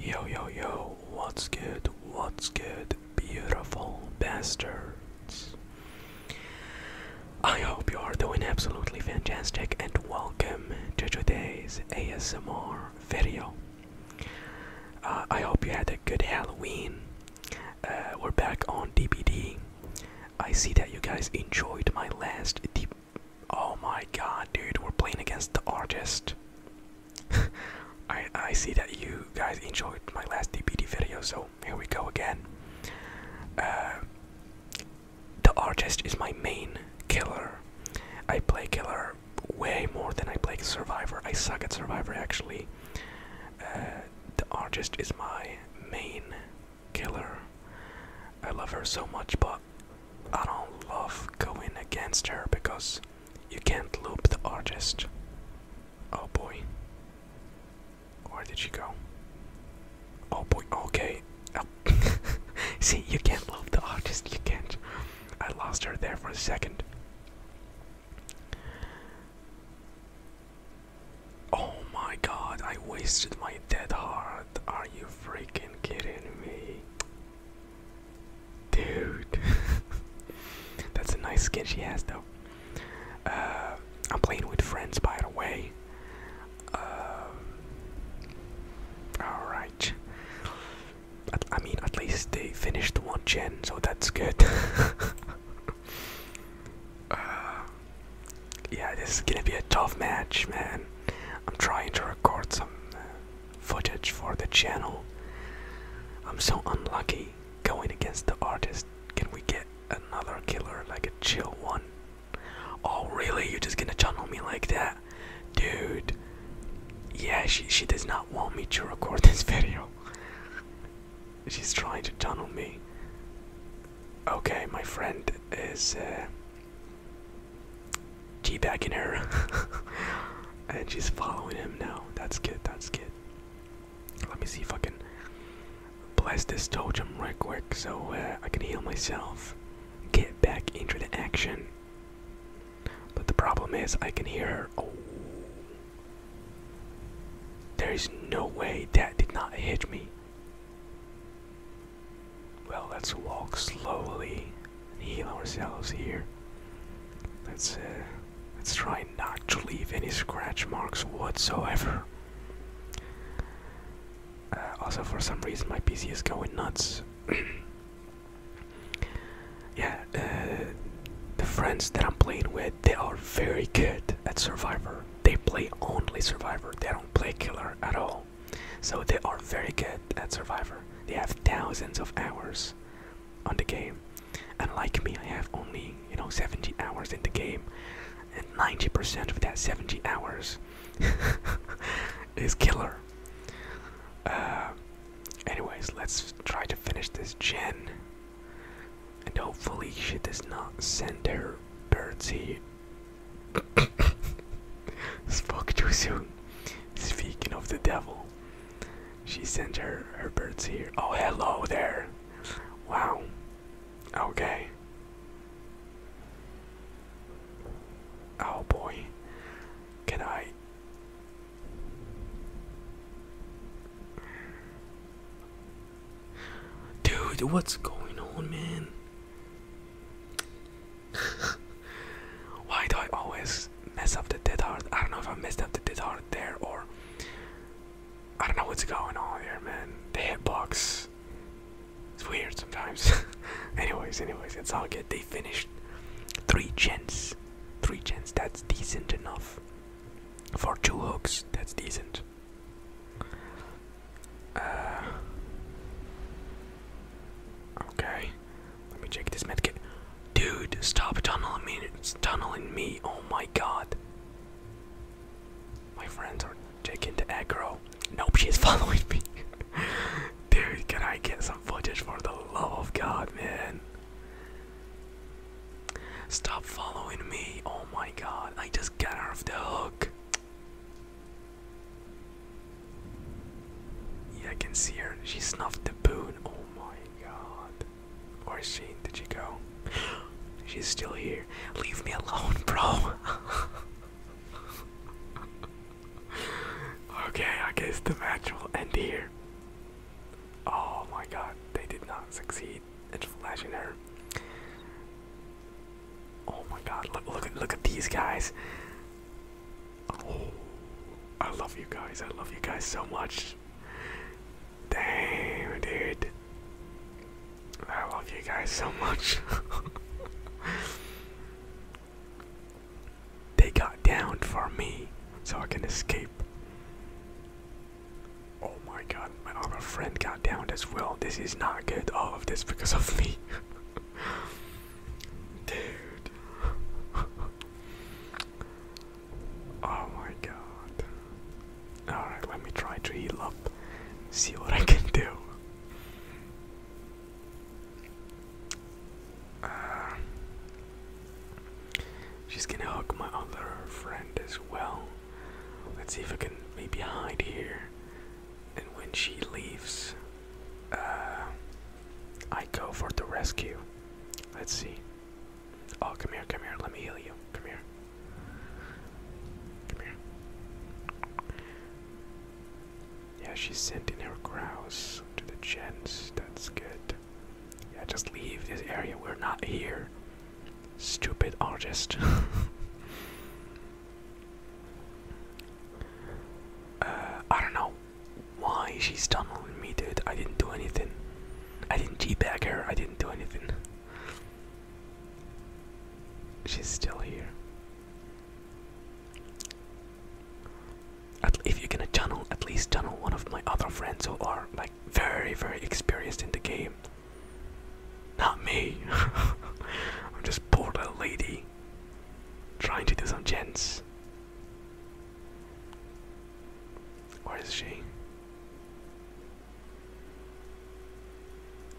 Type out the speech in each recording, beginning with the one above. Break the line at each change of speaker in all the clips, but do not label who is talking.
Yo, yo, yo, what's good? What's good, beautiful bastards? I hope you are doing absolutely fantastic and welcome to today's ASMR video. Uh, I hope you had a good Halloween. Uh, we're back on DVD. I see that you guys enjoyed my last deep. Oh my god, dude, we're playing against the artist. I I see that you guys enjoyed my last DPD video, so here we go again. Uh, the artist is my main killer. I play killer way more than I play survivor. I suck at survivor actually. Uh, the artist is my main killer. I love her so much, but I don't love going against her because you can't loop the artist. Oh boy. Where did she go? Oh boy, okay. Oh. See, you can't loop the artist, you can't. I lost her there for a second. Oh my god, I wasted my dead heart. Are you freaking kidding me? Dude. That's a nice skin she has, though. Uh, I'm playing with friends, by the way. Uh, alright. I, I mean, at least they finished one gen, so that's good. Uh, yeah, this is gonna be a tough match, man. I'm trying to record some uh, footage for the channel. I'm so unlucky going against the artist. Can we get another killer, like a chill one? Oh, really? You're just gonna tunnel me like that? Dude. Yeah, she, she does not want me to record this video. She's trying to tunnel me. Okay, my friend is uh, G back in her. and she's following him now. That's good, that's good. Let me see if I can bless this totem right quick so uh, I can heal myself. Get back into the action. But the problem is, I can hear her. Oh. There is no way that did not hit me. Well, let's walk slowly and heal ourselves here. Let's uh, let's try not to leave any scratch marks whatsoever. Uh, also, for some reason, my PC is going nuts. yeah, uh, the friends that I'm playing with, they are very good at Survivor. They play only Survivor. They don't play Killer at all. So they are very good at Survivor. They have thousands of hours on the game. And like me, I have only, you know, 70 hours in the game. And 90% of that 70 hours is killer. Uh, anyways, let's try to finish this gen. And hopefully she does not send her here. Spoke too soon. Speaking of the devil, she sent her her birds here. Oh, hello there. Wow. Okay. Oh boy. Can I? Dude, what's going on, man? Why do I always mess up the dead heart? I don't know if I messed up the dead heart there or I don't know what's going on here, man. The hitbox. It's weird sometimes. anyways, anyways, it's all good. They finished three gens. Three gens. That's decent enough. For two hooks, that's decent. Uh, okay, let me check this medkit. Dude, stop tunneling me! tunneling me! Oh my god! My friends are taking to aggro. Nope, she's following me. Dude, can I get some footage for the love of God, man? Stop following me. Oh my god, I just got off the hook. Yeah, I can see her. She snuffed the boon. Oh my god. Where is she? Did she go? She's still here. Leave me alone, bro. okay, I guess the match will end here. Oh my god, they did not succeed. It's flashing her. Oh my God! Look, look, look at these guys. Oh, I love you guys. I love you guys so much. Damn, dude. I love you guys so much. they got down for me so I can escape. Oh my god, my other friend got downed as well. This is not good, all of this because of me. Dude. oh my god. Alright, let me try to heal up. See what I can do. Uh, she's gonna hook my other friend as well. Let's see if I can maybe hide here. And when she leaves, uh, I go for the rescue. Let's see. Oh, come here, come here. Let me heal you. Come here. Come here. Yeah, she's sending her grouse to the gens. That's good. Yeah, just leave this area. We're not here. Stupid artist. Uh, I don't know why she's tunneling me, dude. I didn't do anything. I didn't g back her. I didn't do anything. She's still here. At, if you're gonna tunnel, at least tunnel one of my other friends who are like very, very experienced in the game. Not me. I'm just bored little lady trying to do some gents. Where is she?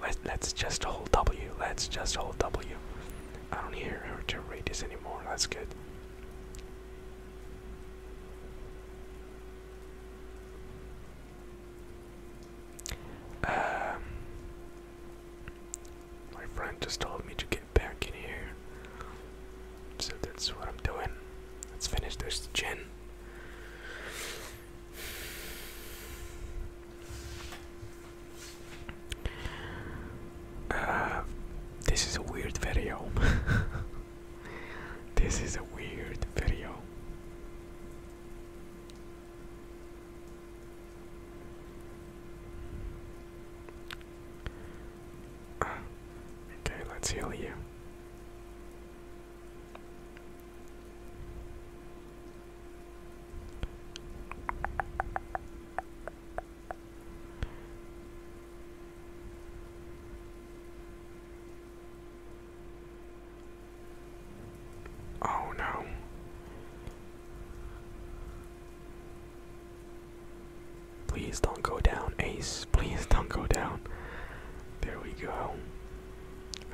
Let's let's just hold W. Let's just hold W. I don't hear her to this anymore. That's good. Um, my friend just told me to get back in here, so that's what I'm doing. Let's finish this gin. Uh, this is a weird video. This is a weird video. okay, let's heal you. Oh no. Please don't go down, Ace. Please don't go down. There we go.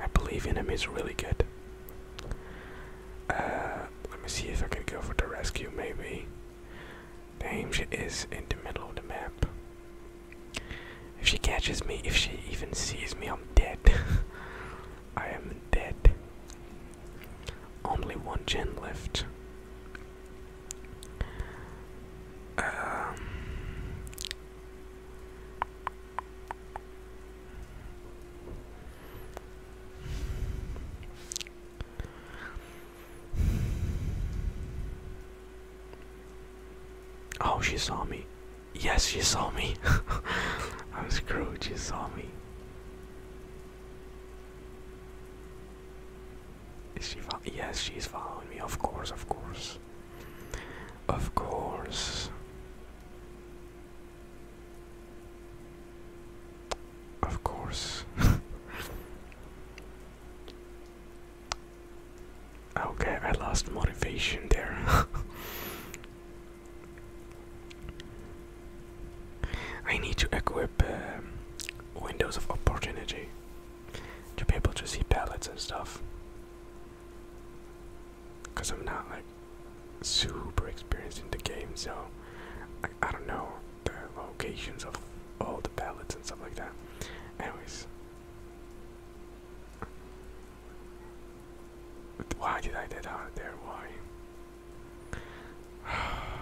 I believe in him. He's really good. Uh, let me see if I can go for the rescue, maybe. Damn, she is in the middle of the map. If she catches me, if she even sees me, I'm dead. I am dead. Only one gen left. Um, Oh, she saw me. Yes, she saw me. I'm screwed, she saw me. she yes, she's following me, of course, of course. Of course. Of course. Okay, I lost motivation there. I need to equip um, windows of opportunity to be able to see pallets and stuff. Because I'm not like super experienced in the game, so I don't know the locations of all the pallets and stuff like that. Anyways, why did I get out there? Why?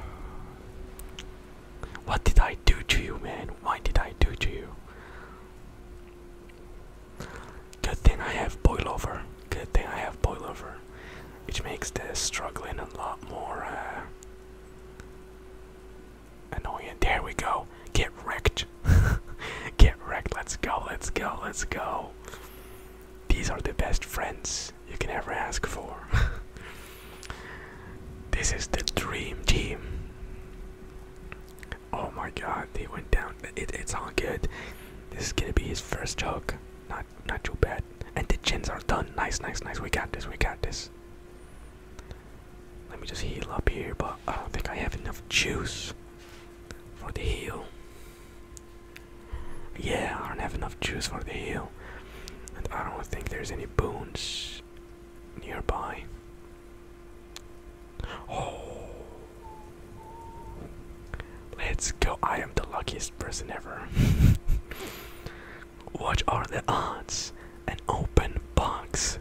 What did I do to you, man? Why did I do to you? Good thing I have boilover. Good thing I have boilover, which makes this struggling a lot more uh, Annoying. There we go. Get wrecked. Get wrecked. Let's go. Let's go. Let's go. These are the best friends you can ever ask for. this is the dream team. Oh my god, they went down. it's all good. This is gonna be his first joke. Not not too bad. And the chins are done. Nice, nice, nice. We got this. We got this. Let me just heal up here, but I don't think I have enough juice for the heal. Yeah, I don't have enough juice for the heal. And I don't think there's any boons nearby. Oh. Let's go. I am the luckiest person ever. What are the odds? An open box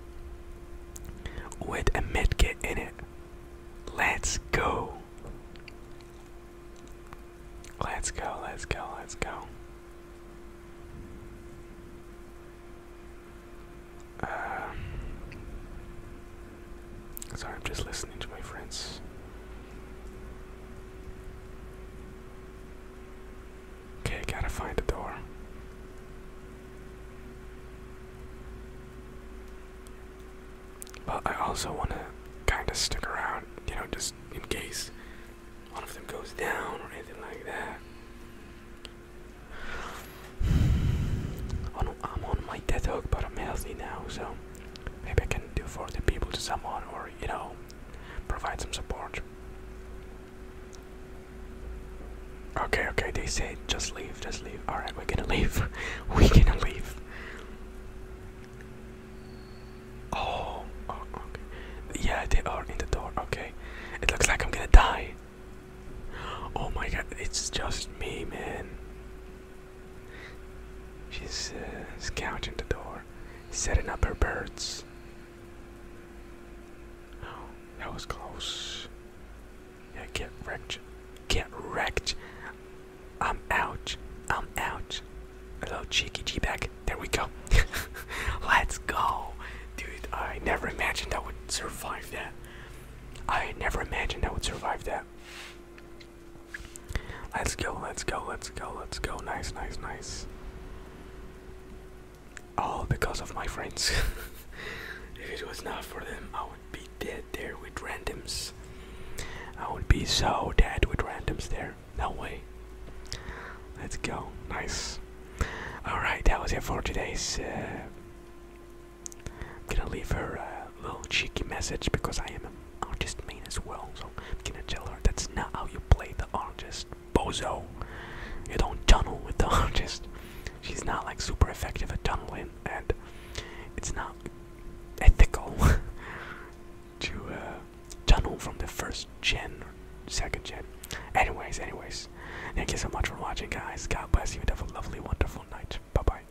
with a medkit in it. Let's go. Let's go, let's go, let's go. Uh, sorry, I'm just listening to my friends. Okay, gotta find the door. But I also want to kind of stick around, you know, just in case one of them goes down or anything like that. Oh, I'm on my death hook, but I'm healthy now, so maybe I can do for the people to someone or, you know, provide some support. Okay, okay, they said, just leave, just leave. Alright, we're gonna leave. we're gonna leave. Oh, oh, okay. Yeah, they are in the door. Okay. It looks like I'm gonna die. Oh my god, it's just me, man. She's uh, scouting the door, setting up her birds. Oh, that was close. Yeah, get wrecked. Get wrecked. I'm out. I'm out. A little cheeky G back. There we go. Let's go. Dude, I never imagined I would survive that. I never imagined I would survive that. Let's go, let's go, let's go, let's go. Nice, nice, nice. All because of my friends. if it was not for them, I would be dead there with randoms. I would be so dead with randoms there. No way. Let's go. Nice. Alright, that was it for today's. Uh, I'm gonna leave her. Uh, little cheeky message because I am an artist main as well. So I'm gonna tell her that's not how you play the artist, bozo. You don't tunnel with the artist. She's not like super effective at tunneling, and it's not ethical to uh, tunnel from the first gen or second gen. Anyways, anyways, thank you so much for watching, guys. God bless you. Have a lovely, wonderful night. Bye bye.